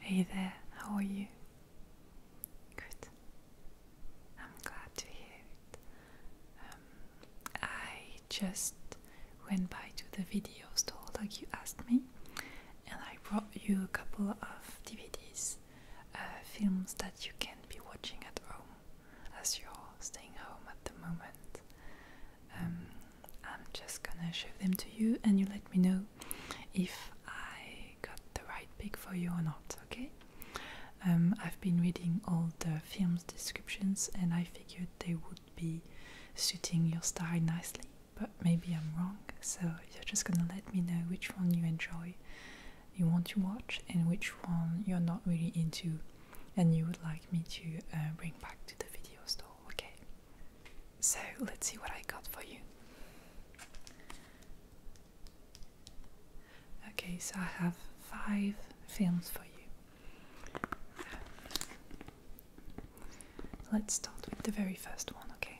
Hey there, how are you? Good. I'm glad to hear it. Um, I just went by to the video store like you asked me, and I brought you a couple of DVDs uh, films that you can be watching at home as you're staying home at the moment. Um, I'm just gonna show them to you and you let me know if I got the right pick for you or not, okay? Um, I've been reading all the film's descriptions and I figured they would be suiting your style nicely, but maybe I'm wrong, so you're just gonna let me know which one you enjoy you want to watch and which one you're not really into and you would like me to uh, bring back to the video store, okay? So let's see what I got for you. Okay, so I have five films for you. Let's start with the very first one, okay?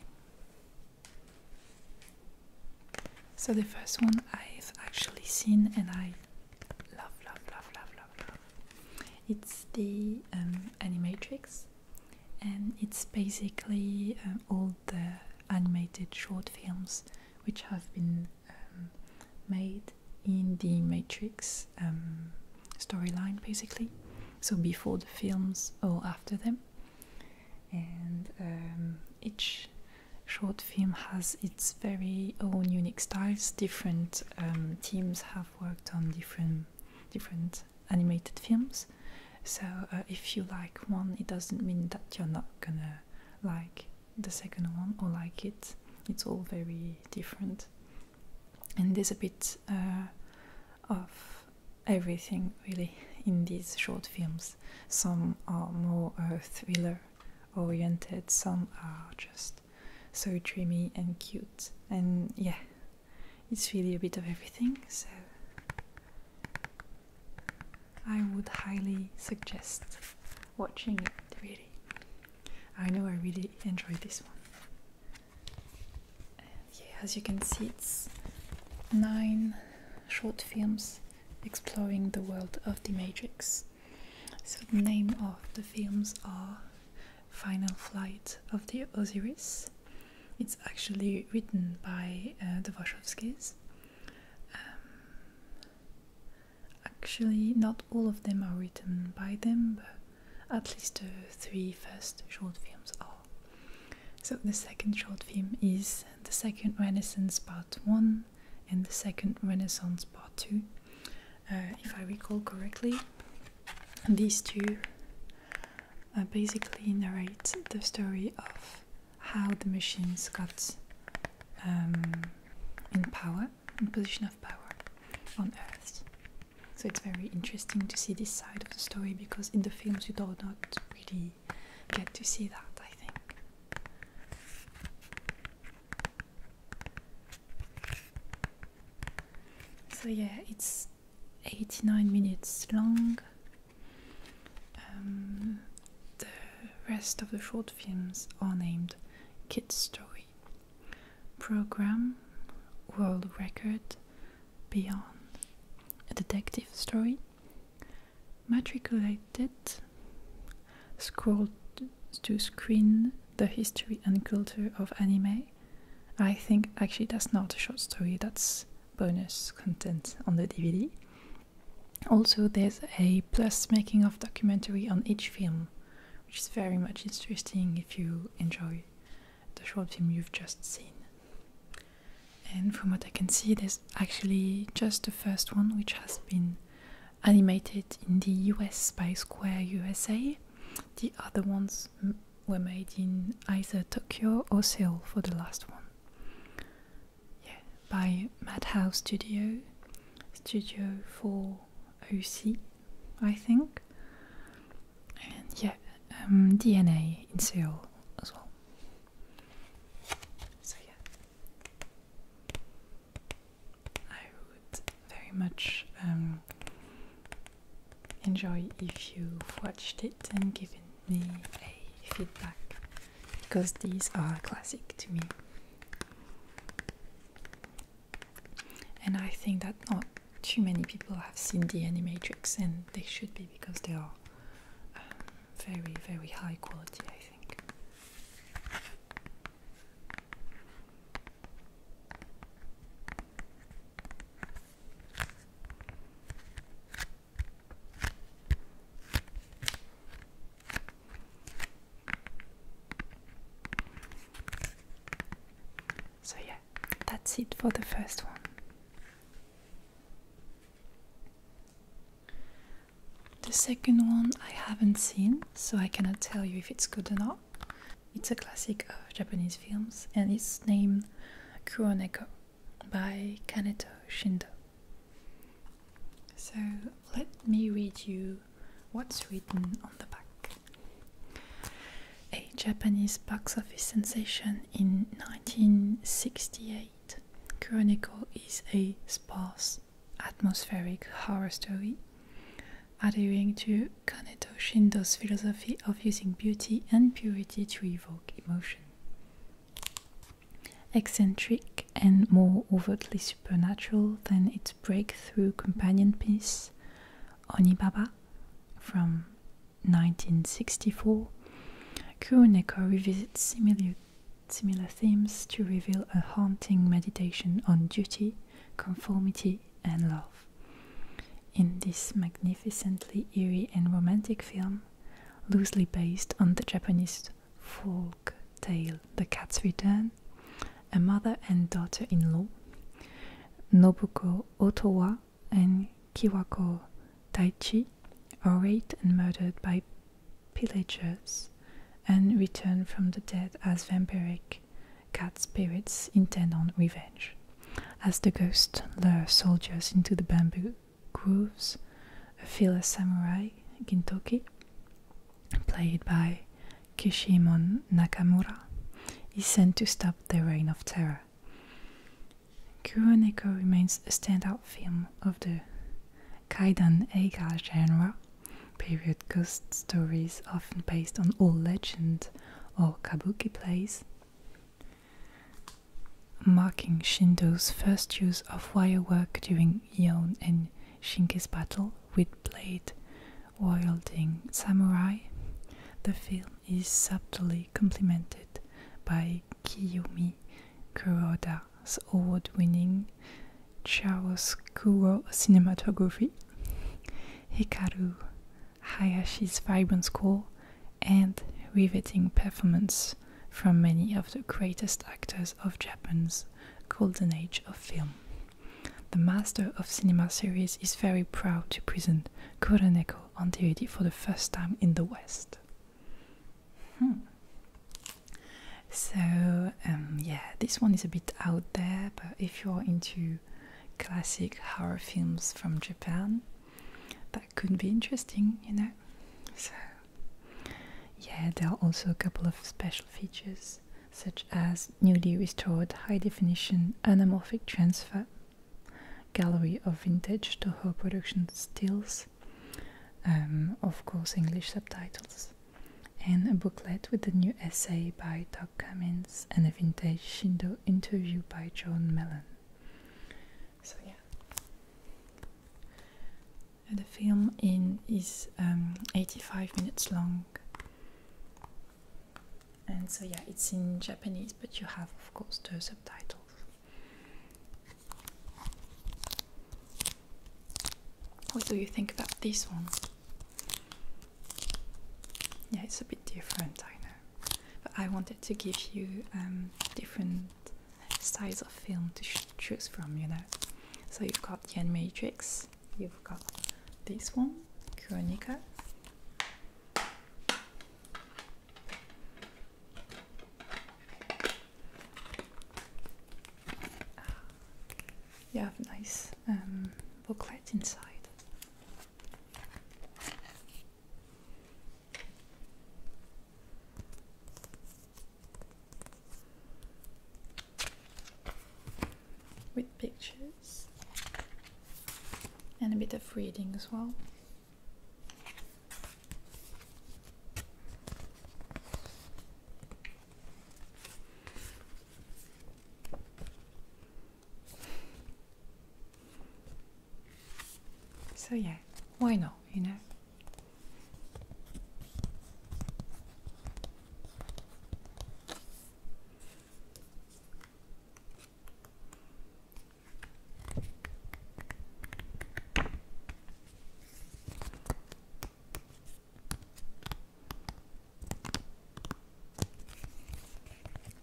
So the first one I've actually seen and I love, love, love, love, love, love. It's the um, Animatrix, and it's basically um, all the animated short films which have been um, made in the Matrix storyline, basically. So before the films or after them and um, each short film has its very own unique styles. Different um, teams have worked on different different animated films, so uh, if you like one, it doesn't mean that you're not gonna like the second one or like it. It's all very different, and there's a bit uh, of everything really in these short films. Some are more thriller oriented, some are just so dreamy and cute. And yeah, it's really a bit of everything. So I would highly suggest watching it, really. I know I really enjoyed this one. yeah, as you can see, it's nine short films exploring the world of the Matrix. So, the name of the films are Final Flight of the Osiris. It's actually written by uh, the Wachowskis. Um, actually, not all of them are written by them, but at least the uh, three first short films are. So the second short film is the Second Renaissance Part 1 and the Second Renaissance Part 2. Uh, if I recall correctly, these two uh, basically narrate the story of how the machines got um, in power, in position of power on Earth. So it's very interesting to see this side of the story because in the films you do not really get to see that, I think. So, yeah, it's 89 minutes long. Um, the rest of the short films are named Kids Story, Program, World Record, Beyond, A Detective Story, matriculated, scrolled to screen the history and culture of anime. I think actually that's not a short story, that's bonus content on the DVD. Also, there's a plus making of documentary on each film, which is very much interesting if you enjoy the short film you've just seen. And from what I can see, there's actually just the first one which has been animated in the US by Square USA. The other ones were made in either Tokyo or Seoul for the last one. Yeah, by Madhouse Studio, Studio 4OC, I think. And yeah, um, DNA in Seoul as well. So, yeah. I would very much um, enjoy if you watched it and given me a feedback because these are classic to me. And I think that not too many people have seen The Animatrix, and they should be because they are um, very, very high quality, I think. So, yeah, that's it for the first one. The second one I haven't seen, so I cannot tell you if it's good or not. It's a classic of Japanese films and it's named Kuroneko by Kaneto Shindo. So let me read you what's written on the back. A Japanese box office sensation in 1968 Chronicle is a sparse atmospheric horror story, adhering to Kaneto Shindo's philosophy of using beauty and purity to evoke emotion. Eccentric and more overtly supernatural than its breakthrough companion piece, Onibaba, from 1964, Kuroneko revisits similar, similar themes to reveal a haunting meditation on duty, conformity, and love. In this magnificently eerie and romantic film, loosely based on the Japanese folk tale The Cat's Return, a mother and daughter in law, Nobuko Otowa and Kiwako Daichi are raped and murdered by pillagers and return from the dead as vampiric cat spirits intent on revenge. As the ghosts lure soldiers into the bamboo groves, a fearless samurai, Gintoki, played by Kishimon Nakamura, is sent to stop the reign of terror. Kuroneko remains a standout film of the Kaidan Eiga genre, period ghost stories often based on old legend or kabuki plays, marking Shindo's first use of wire work during Yon and Shinki's battle with blade wielding samurai. The film is subtly complimented by Kiyomi Kuroda's award-winning chiaroscuro cinematography, Hikaru Hayashi's vibrant score, and riveting performance from many of the greatest actors of Japan's golden age of film. The Master of Cinema series is very proud to present Kuroneko on DVD for the first time in the West. Hmm. So um, yeah, this one is a bit out there, but if you're into classic horror films from Japan, that could be interesting, you know. So yeah, there are also a couple of special features such as newly restored high definition anamorphic transfer, gallery of vintage Toho production stills, um, of course, English subtitles, and a booklet with a new essay by Doug Cummins and a vintage Shindo interview by John Mellon. So, yeah. The film in is um, 85 minutes long, and so yeah, it's in Japanese, but you have, of course, the subtitles. What do you think about this one? Yeah, it's a bit different, I know. But I wanted to give you um, different styles of film to choose from, you know. So you've got the Matrix, you've got this one, Kronika, you have nice um, booklet inside. With pictures and a bit of reading as well. So, yeah, why not, you know?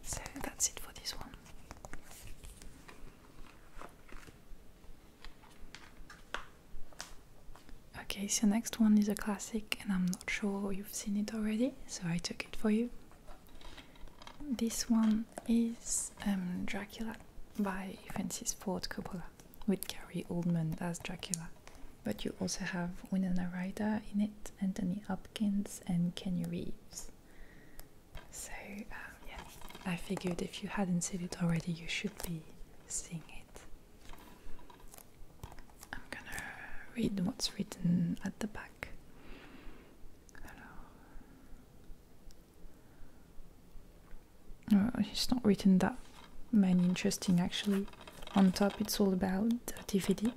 So that's it for this one. Okay, so next one is a classic, and I'm not sure you've seen it already, so I took it for you. This one is um, Dracula by Francis Ford Coppola with Gary Oldman as Dracula. But you also have Winona Ryder in it, Anthony Hopkins, and Kenny Reeves. So, um, I figured if you hadn't seen it already, you should be seeing it. I'm gonna read what's written at the back it's uh, not written that many interesting actually. On top, it's all about the DVD.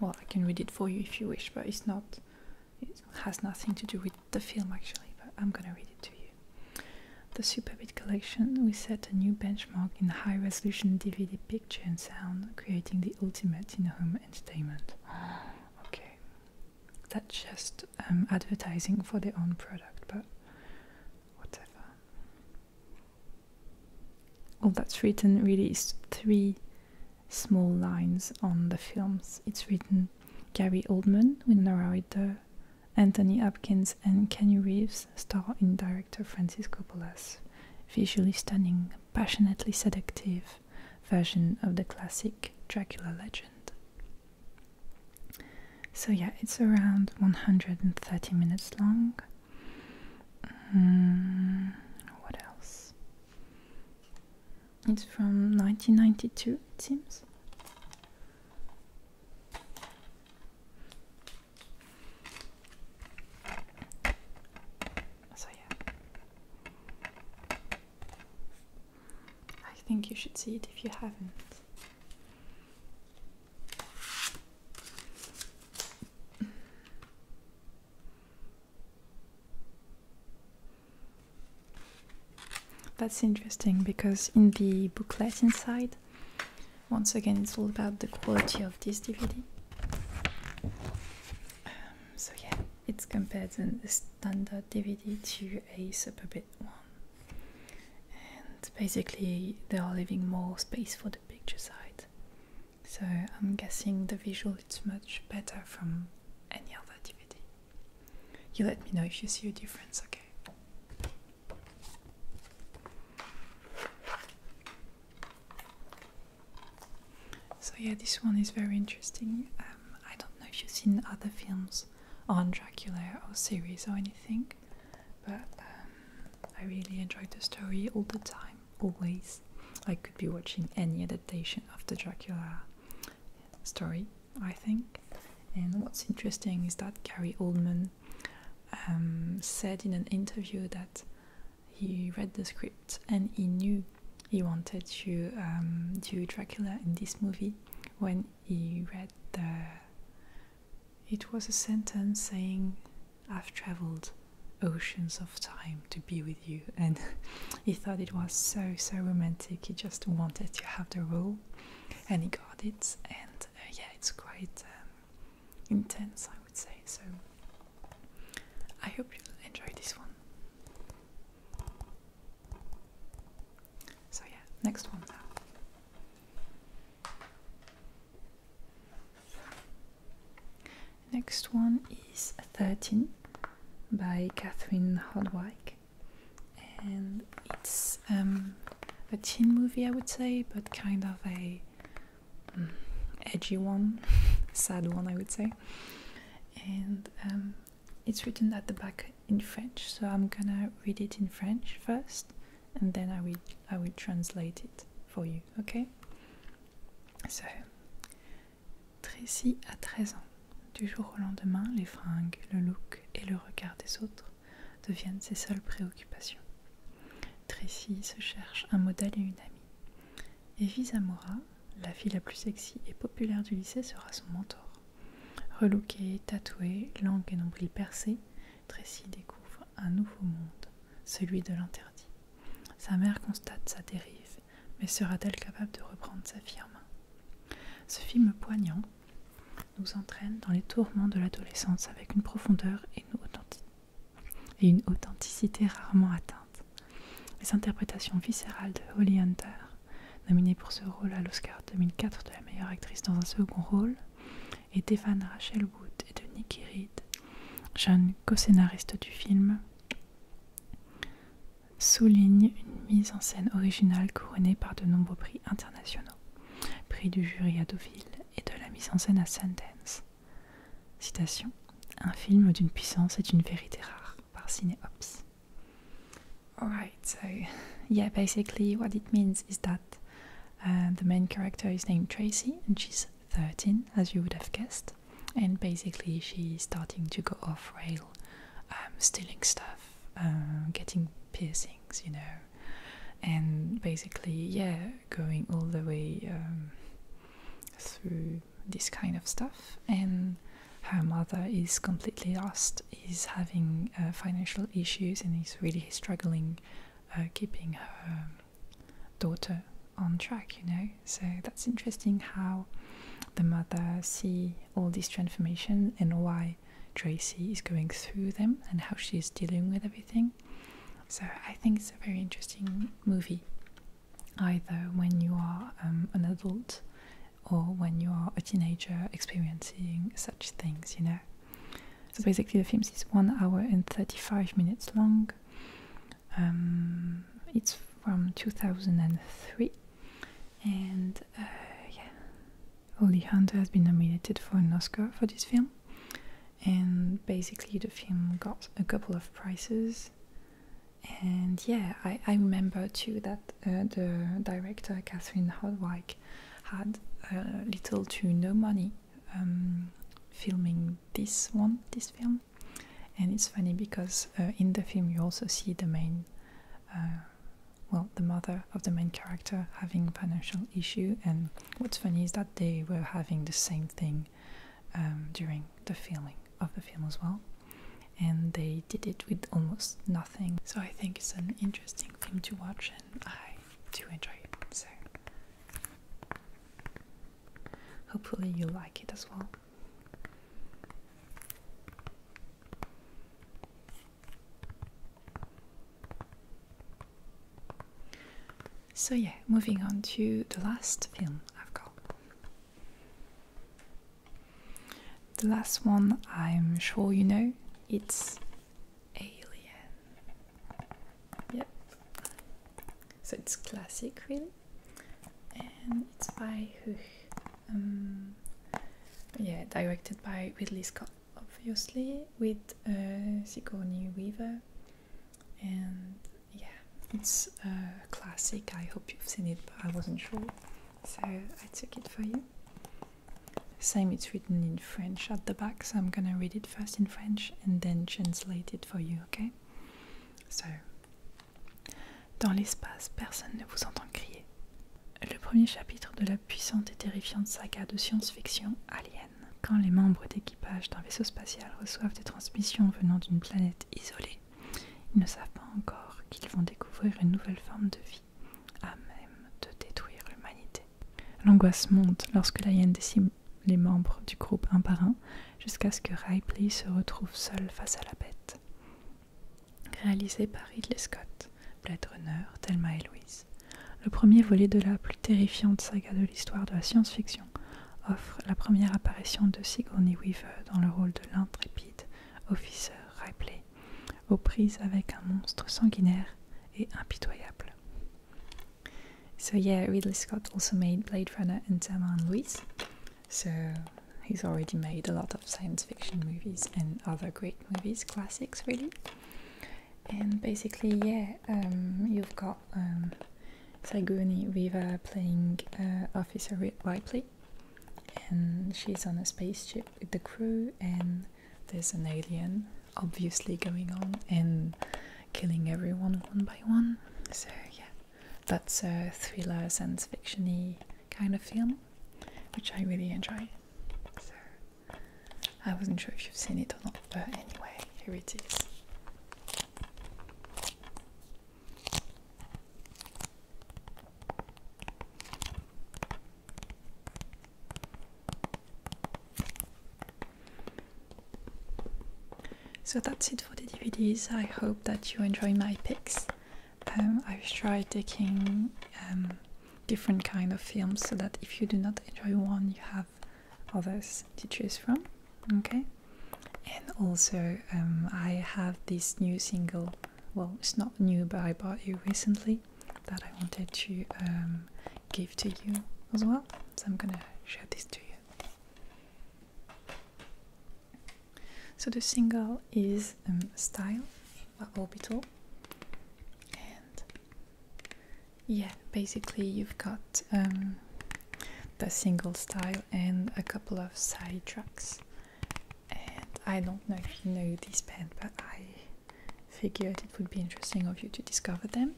Well, I can read it for you if you wish, but it's not. It has nothing to do with the film actually. But I'm gonna read it to you. The Superbit collection. We set a new benchmark in high-resolution DVD picture and sound, creating the ultimate in-home entertainment. okay, that's just um, advertising for their own product, but whatever. All that's written really is three small lines on the films. It's written Gary Oldman, with narrator Anthony Hopkins, and Kenny Reeves star in director Francis Coppola's visually stunning, passionately seductive, version of the classic Dracula legend. So, yeah, it's around 130 minutes long. Mm, what else? It's from 1992, it seems. So, yeah. I think you should see it if you haven't. That's interesting because in the booklet inside, once again, it's all about the quality of this DVD. Um, so, yeah, it's compared and than the DVD to a super bit one. And basically, they are leaving more space for the picture side. So I'm guessing the visual is much better from any other DVD. You let me know if you see a difference, okay? So yeah, this one is very interesting. Um, I don't know if you've seen other films on Dracula or series or anything, but um, I really enjoyed the story all the time, always. I could be watching any adaptation of the Dracula story, I think. And what's interesting is that Gary Oldman um, said in an interview that he read the script and he knew he wanted to um, do Dracula in this movie when he read the. It was a sentence saying, I've traveled oceans of time to be with you, and he thought it was so, so romantic. He just wanted to have the role, and he got it. And uh, yeah, it's quite um, intense, I would say. So I hope you'll enjoy this one. So yeah, next one now. Next one is 13 by Catherine Hardwicke, and it's um, a teen movie, I would say, but kind of a mm, edgy one, sad one, I would say. And um, it's written at the back in French, so I'm gonna read it in French first, and then I will I will translate it for you. Okay. So, Tracy a 13 ans. Du jour au lendemain, les fringues, le look et le regard des autres deviennent ses seules préoccupations. Tracy se cherche un modèle et une amie. Evie la fille la plus sexy et populaire du lycée sera son mentor. Relouquée, tatouée, langue et nombril percés, Tracy découvre un nouveau monde, celui de l'interdit. Sa mère constate sa dérive, mais sera-t-elle capable de reprendre sa firme Ce film poignant nous entraîne dans les tourments de l'adolescence avec une profondeur et une, authenticité rarement atteintes. Les interprétations viscérales de Holly Hunter, nominée pour ce rôle à l'Oscar 2004 de la meilleure actrice dans un second rôle, et d'Evan Rachel Wood et de Nicky Reed, jeunes co scénaristes du film, soulignent une mise en scène originale couronnée par de nombreux prix internationaux, prix du jury à Deauville et de la mise en scène à Sundance. Citation Un film d'une puissance et d'une vérité rare. par Cineops. Alright, so yeah, basically what it means is that uh, the main character is named Tracy and she's 13, as you would have guessed, and basically she's starting to go off rail, um, stealing stuff, uh, getting piercings, you know, and basically, yeah, going all the way um, through this kind of stuff, and her mother is completely lost, is having uh, financial issues, and is really struggling uh, keeping her daughter on track, you know. So that's interesting how the mother see all these transformations and why Tracy is going through them and how she's dealing with everything. So I think it's a very interesting movie either when you are um, an adult or when you are a teenager experiencing such things, you know. So basically, the film is one hour and 35 minutes long. Um, it's from 2003, and uh, yeah, Holly Hunter has been nominated for an Oscar for this film. And basically, the film got a couple of prizes and yeah, I, I remember too that uh, the director Catherine Hardwicke had little to no money um, filming this one, this film. And it's funny because uh, in the film you also see the main, uh, well, the mother of the main character having financial issue. And what's funny is that they were having the same thing um, during the filming of the film as well, and they did it with almost nothing. So I think it's an interesting film to watch, and I do enjoy it. So hopefully you like it as well. So, yeah, moving on to the last film I've got. The last one I'm sure you know it's Alien. Yep. So it's classic, really, and it's by um, yeah, directed by Ridley Scott, obviously, with uh, Sigourney Weaver, and yeah, It's a uh, classic. I hope you've seen it, but I wasn't sure, so I took it for you. Same, it's written in French at the back, so I'm gonna read it first in French and then translate it for you, okay? So, dans l'espace, personne ne vous entend crier. Le premier chapitre de la puissante et terrifiante saga de science-fiction Alien. Quand les membres d'équipage d'un vaisseau spatial reçoivent des transmissions venant d'une planète isolée, ils ne savent pas encore qu'ils vont découvrir une nouvelle forme de vie, à même de détruire l'humanité. L'angoisse monte lorsque la hyène décime les membres du groupe un par un, jusqu'à ce que Ripley se retrouve seul face à la bête. Réalisé par Ridley Scott, Blade Runner, Thelma et Louise, le premier volet de la plus terrifiante saga de l'histoire de la science-fiction offre la première apparition de Sigourney Weaver dans le rôle de l'intrépide officer Ripley, aux prises avec un monstre sanguinaire et impitoyable. So yeah, Ridley Scott also made Blade Runner and Thelma and Louise. So he's already made a lot of science fiction movies and other great movies, classics really. And basically, yeah, um, you've got um, Sigourney Weaver playing uh, Officer Ripley, and she's on a spaceship with the crew and there's an alien obviously going on and killing everyone one by one so yeah that's a thriller science fictiony kind of film which i really enjoy so i wasn't sure if you've seen it or not but anyway here it is so that's it for the DVDs. I hope that you enjoy my picks. Um, I've tried taking um, different kind of films so that if you do not enjoy one, you have others to choose from. Okay and also um, I have this new single. Well, it's not new, but I bought you recently that I wanted to um, give to you as well. So I'm gonna show this to you. So the single is um, Style by Orbital, and yeah, basically you've got the single style and a couple of side tracks and I don't know if you know this band, but I figured it would be interesting of you to discover them.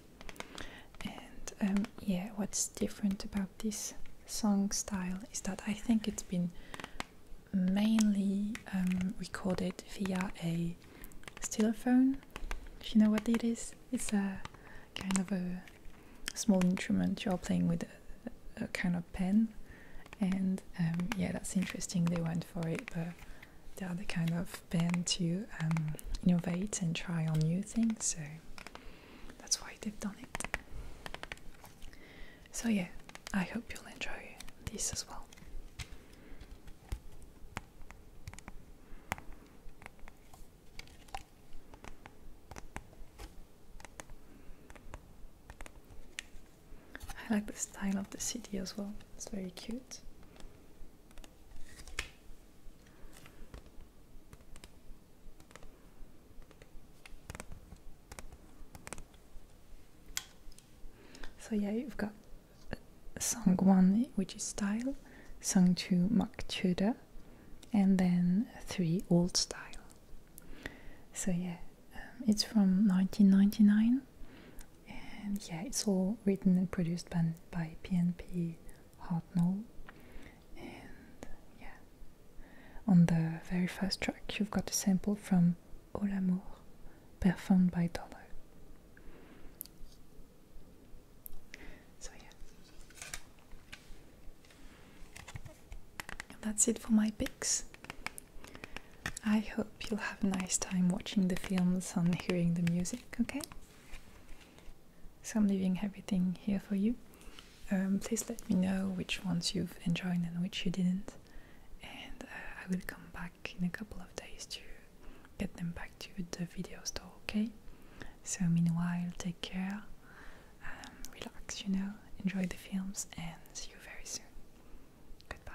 And um, yeah, what's different about this song style is that I think it's been mainly um, recorded via a still phone. If you know what it is, it's a kind of a small instrument you are playing with a, kind of pen and um, yeah that's interesting they went for it but they are the kind of pen to um, innovate and try on new things so that's why they've done it so yeah i hope you'll enjoy this as well I like the style of the city as well, it's very cute. So, yeah, you've got uh, song one, which is style, song two, Maktuda, and then three, old style. So yeah, um, it's from 1999, and yeah, it's all written and produced by, PNP Hartnell. And yeah, on the very first track, you've got a sample from "O l'amour," performed by Dollar. So yeah. That's it for my picks. I hope you'll have a nice time watching the films and hearing the music, okay? So I'm leaving everything here for you. Um, please let me know which ones you've enjoyed and which you didn't, and uh, I will come back in a couple of days to get them back to the video store, okay? So, meanwhile, take care um, relax, you know, enjoy the films, and see you very soon. Goodbye.